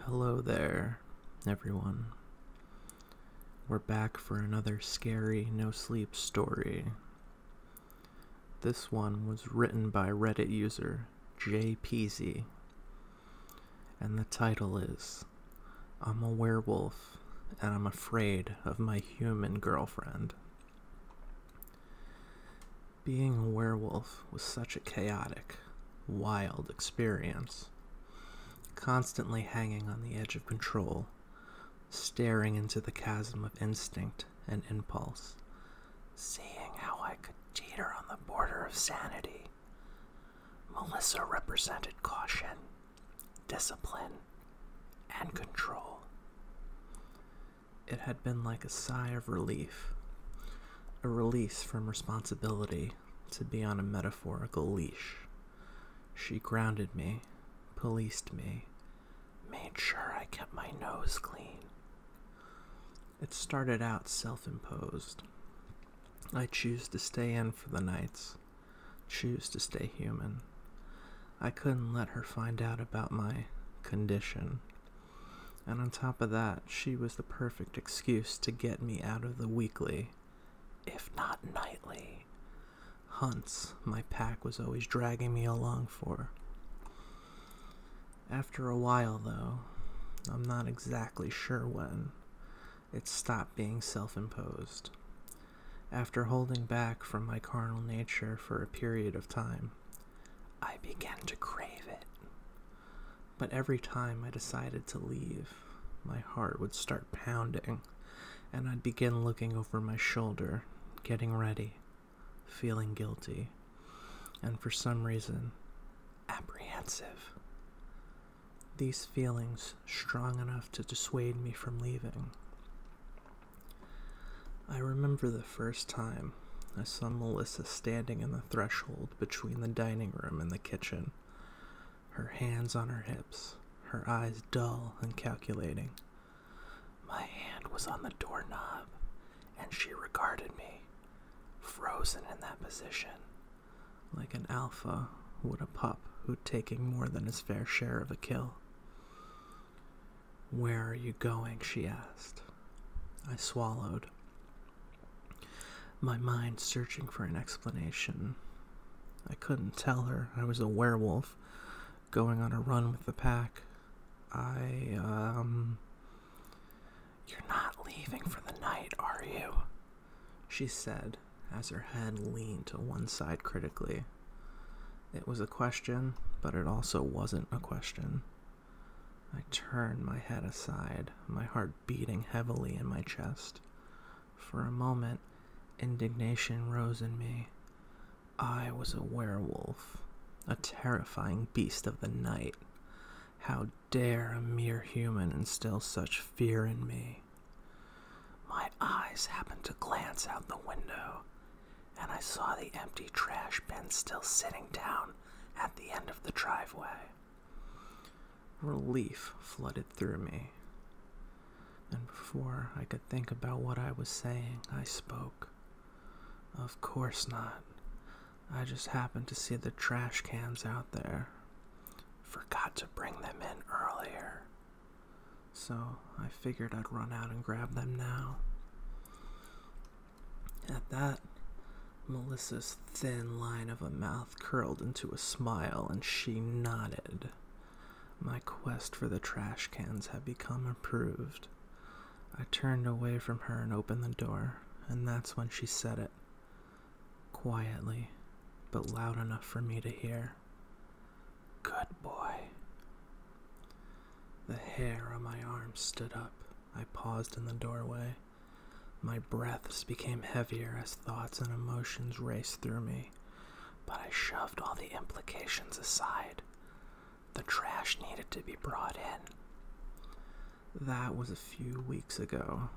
Hello there, everyone. We're back for another scary no sleep story. This one was written by Reddit user Jay and the title is I'm a Werewolf and I'm Afraid of My Human Girlfriend. Being a werewolf was such a chaotic, wild experience. Constantly hanging on the edge of control, staring into the chasm of instinct and impulse, seeing how I could teeter on the border of sanity. Melissa represented caution, discipline, and control. It had been like a sigh of relief, a release from responsibility to be on a metaphorical leash. She grounded me, policed me, made sure I kept my nose clean. It started out self imposed. I choose to stay in for the nights, choose to stay human. I couldn't let her find out about my condition, and on top of that, she was the perfect excuse to get me out of the weekly, if not nightly, hunts my pack was always dragging me along for. After a while, though, I'm not exactly sure when, it stopped being self imposed. After holding back from my carnal nature for a period of time, I began to crave it. But every time I decided to leave, my heart would start pounding, and I'd begin looking over my shoulder, getting ready, feeling guilty, and for some reason, apprehensive. These feelings strong enough to dissuade me from leaving. I remember the first time I saw Melissa standing in the threshold between the dining room and the kitchen, her hands on her hips, her eyes dull and calculating. My hand was on the doorknob, and she regarded me, frozen in that position, like an alpha would a pup who'd taken more than his fair share of a kill. Where are you going? she asked. I swallowed, my mind searching for an explanation. I couldn't tell her I was a werewolf going on a run with the pack. I, um. You're not leaving for the night, are you? She said, as her head leaned to one side critically. It was a question, but it also wasn't a question. I turned my head aside, my heart beating heavily in my chest. For a moment, indignation rose in me. I was a werewolf, a terrifying beast of the night. How dare a mere human instill such fear in me? My eyes happened to glance out the window and I saw the empty trash bin still sitting down at the end of the driveway. Relief flooded through me, and before I could think about what I was saying, I spoke. Of course not. I just happened to see the trash cans out there. Forgot to bring them in earlier so I figured I'd run out and grab them now. At that, Melissa's thin line of a mouth curled into a smile and she nodded. My quest for the trash cans had become approved. I turned away from her and opened the door, and that's when she said it. Quietly, but loud enough for me to hear. Good boy. The hair on my arms stood up. I paused in the doorway. My breaths became heavier as thoughts and emotions raced through me, but I shoved all the implications aside. The trash needed to be brought in. That was a few weeks ago,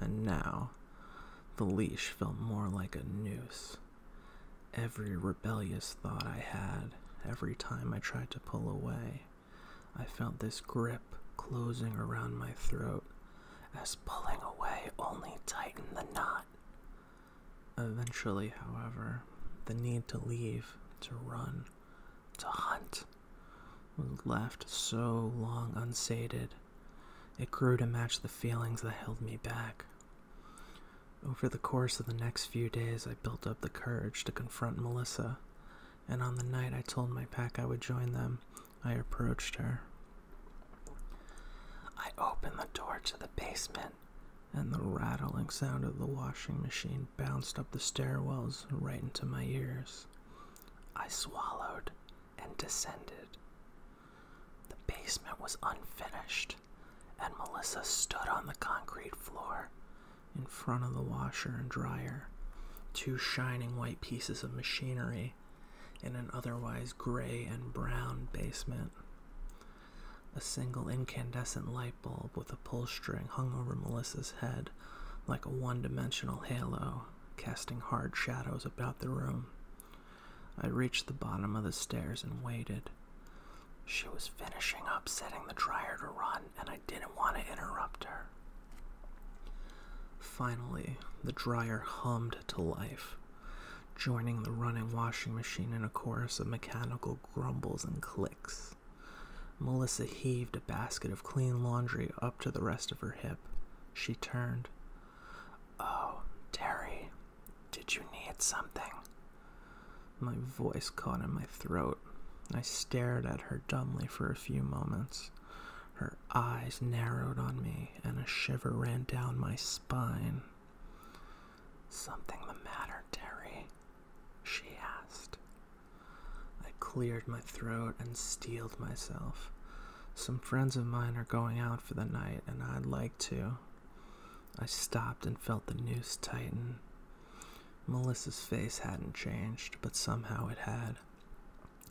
and now the leash felt more like a noose. Every rebellious thought I had, every time I tried to pull away, I felt this grip closing around my throat, as pulling away only tightened the knot. Eventually, however, the need to leave, to run, to hunt, was left so long unsated. It grew to match the feelings that held me back. Over the course of the next few days, I built up the courage to confront Melissa, and on the night I told my pack I would join them, I approached her. I opened the door to the basement, and the rattling sound of the washing machine bounced up the stairwells right into my ears. I swallowed and descended. The basement was unfinished, and Melissa stood on the concrete floor in front of the washer and dryer, two shining white pieces of machinery in an otherwise gray and brown basement. A single incandescent light bulb with a pull string hung over Melissa's head like a one dimensional halo, casting hard shadows about the room. I reached the bottom of the stairs and waited. She was finishing up setting the dryer to run, and I didn't want to interrupt her. Finally, the dryer hummed to life, joining the running washing machine in a chorus of mechanical grumbles and clicks. Melissa heaved a basket of clean laundry up to the rest of her hip. She turned. Oh, Terry, did you need something? My voice caught in my throat. I stared at her dumbly for a few moments. Her eyes narrowed on me, and a shiver ran down my spine. Something the matter, Terry? She asked. I cleared my throat and steeled myself. Some friends of mine are going out for the night, and I'd like to, I stopped and felt the noose tighten. Melissa's face hadn't changed, but somehow it had.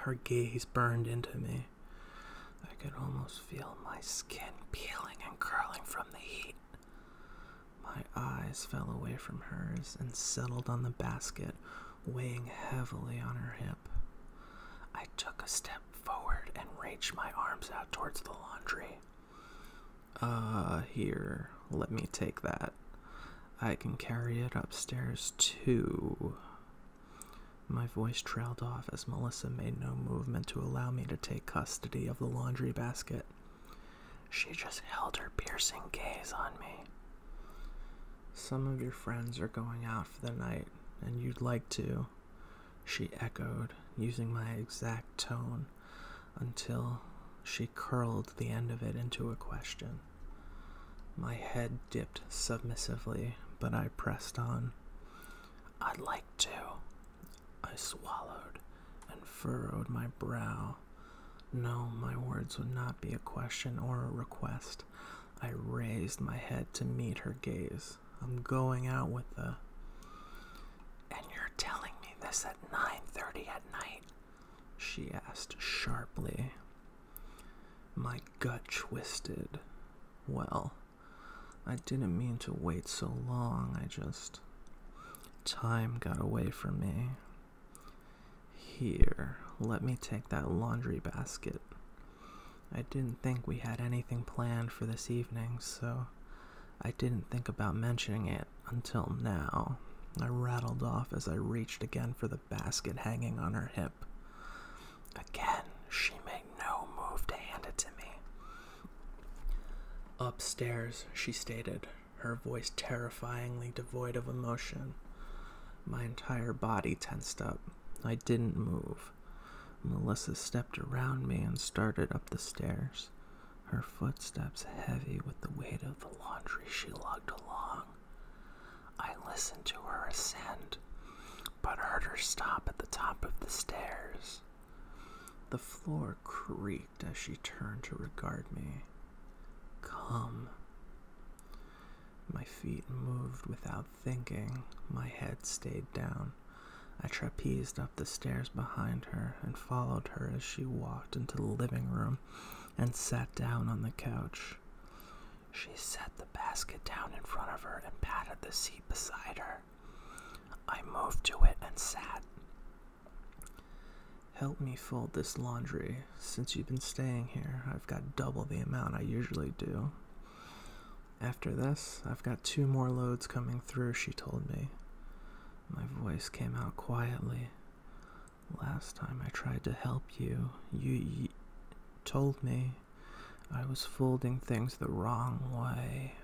Her gaze burned into me. I could almost feel my skin peeling and curling from the heat. My eyes fell away from hers and settled on the basket, weighing heavily on her hip. I took a step forward and reached my arms out towards the laundry. Uh, here, let me take that. I can carry it upstairs too. My voice trailed off as Melissa made no movement to allow me to take custody of the laundry basket. She just held her piercing gaze on me. Some of your friends are going out for the night, and you'd like to, she echoed, using my exact tone, until she curled the end of it into a question. My head dipped submissively, but I pressed on. I'd like to. I swallowed and furrowed my brow. No, my words would not be a question or a request. I raised my head to meet her gaze. I'm going out with the. And you're telling me this at 9:30 at night? She asked sharply. My gut twisted. Well, I didn't mean to wait so long. I just. Time got away from me. Here, let me take that laundry basket. I didn't think we had anything planned for this evening, so I didn't think about mentioning it until now. I rattled off as I reached again for the basket hanging on her hip. Again, she made no move to hand it to me. Upstairs, she stated, her voice terrifyingly devoid of emotion. My entire body tensed up. I didn't move. Melissa stepped around me and started up the stairs, her footsteps heavy with the weight of the laundry she lugged along. I listened to her ascend, but heard her stop at the top of the stairs. The floor creaked as she turned to regard me. Come. My feet moved without thinking. My head stayed down. I trapezed up the stairs behind her and followed her as she walked into the living room and sat down on the couch. She set the basket down in front of her and patted the seat beside her. I moved to it and sat. Help me fold this laundry, since you've been staying here. I've got double the amount I usually do. After this, I've got two more loads coming through, she told me. My voice came out quietly. Last time I tried to help you, you told me I was folding things the wrong way.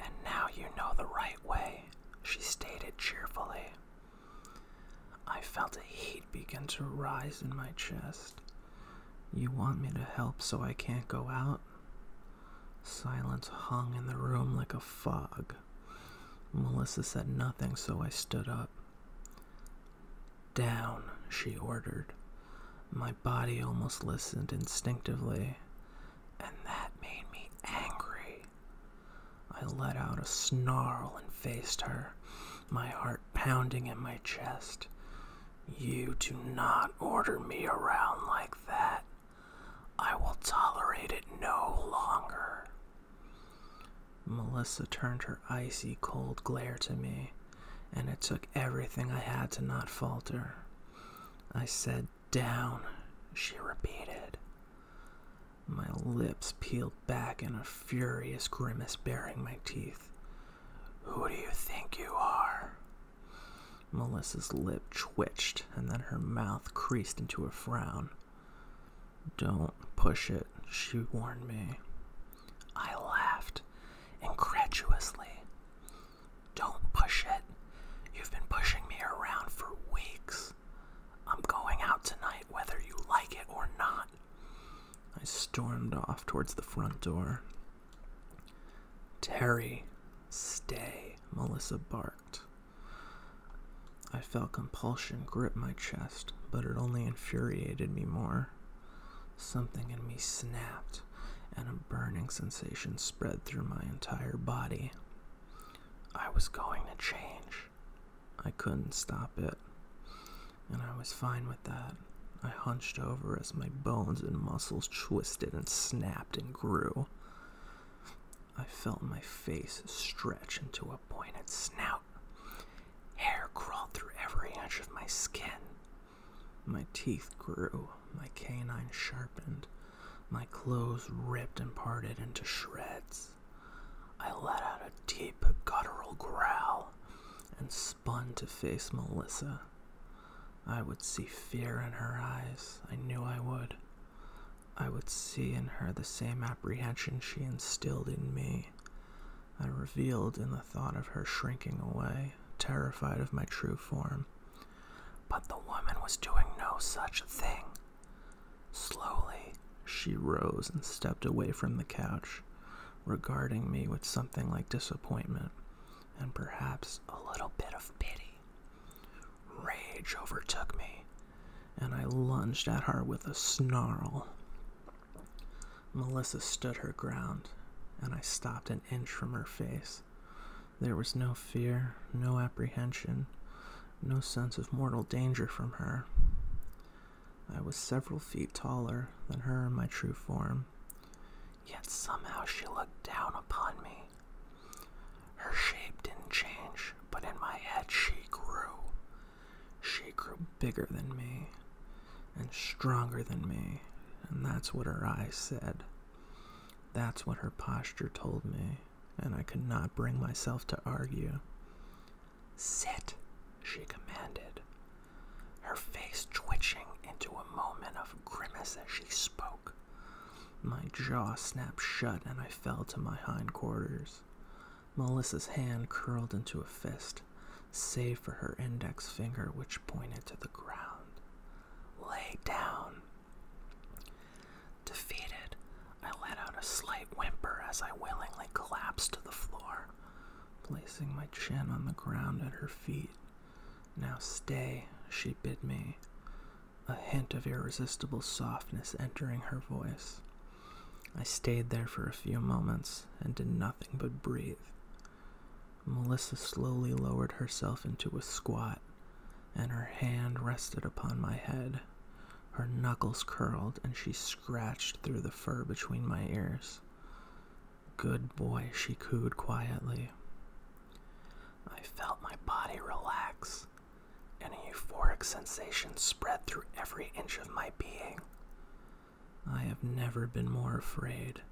And now you know the right way, she stated cheerfully. I felt a heat begin to rise in my chest. You want me to help so I can't go out? Silence hung in the room like a fog. Melissa said nothing, so I stood up. Down, she ordered. My body almost listened instinctively, and that made me angry. I let out a snarl and faced her, my heart pounding in my chest. You do not order me around like that. I will tolerate it no longer. Melissa turned her icy cold glare to me, and it took everything I had to not falter. I said, Down, she repeated my lips peeled back in a furious grimace baring my teeth. Who do you think you are? Melissa's lip twitched, and then her mouth creased into a frown. Don't push it, she warned me. I laughed, incredulously. Don't push it. You've been pushing me around for weeks. I'm going out tonight, whether you like it or not. I stormed off towards the front door. Terry, stay, Melissa barked. I felt compulsion grip my chest, but it only infuriated me more. Something in me snapped, and a burning sensation spread through my entire body. I was going to change. I couldn't stop it, and I was fine with that. I hunched over as my bones and muscles twisted and snapped and grew. I felt my face stretch into a pointed snout. Hair crawled through every inch of my skin. My teeth grew, my canine sharpened, my clothes ripped and parted into shreds. I let out a deep, guttural growl and spun to face Melissa. I would see fear in her eyes. I knew I would. I would see in her the same apprehension she instilled in me. I revealed in the thought of her shrinking away, terrified of my true form. But the woman was doing no such thing. Slowly, she rose and stepped away from the couch, regarding me with something like disappointment and perhaps a little bit of pity. Rage overtook me, and I lunged at her with a snarl. Melissa stood her ground, and I stopped an inch from her face. There was no fear, no apprehension, no sense of mortal danger from her. I was several feet taller than her in my true form, yet somehow she looked down upon me. Her shape didn't change, but in my head she grew. She grew bigger than me, and stronger than me, and that's what her eyes said. That's what her posture told me and I could not bring myself to argue. Sit, she commanded, her face twitching into a moment of grimace as she spoke. My jaw snapped shut and I fell to my hindquarters. Melissa's hand curled into a fist, save for her index finger, which pointed to the ground. Lay down. Defeated, I let out a slight whimper as I willingly collapsed to the floor, placing my chin on the ground at her feet. Now stay, she bid me, a hint of irresistible softness entering her voice. I stayed there for a few moments and did nothing but breathe. Melissa slowly lowered herself into a squat, and her hand rested upon my head. Her knuckles curled, and she scratched through the fur between my ears. Good boy, she cooed quietly. I felt my body relax, and a euphoric sensation spread through every inch of my being. I have never been more afraid.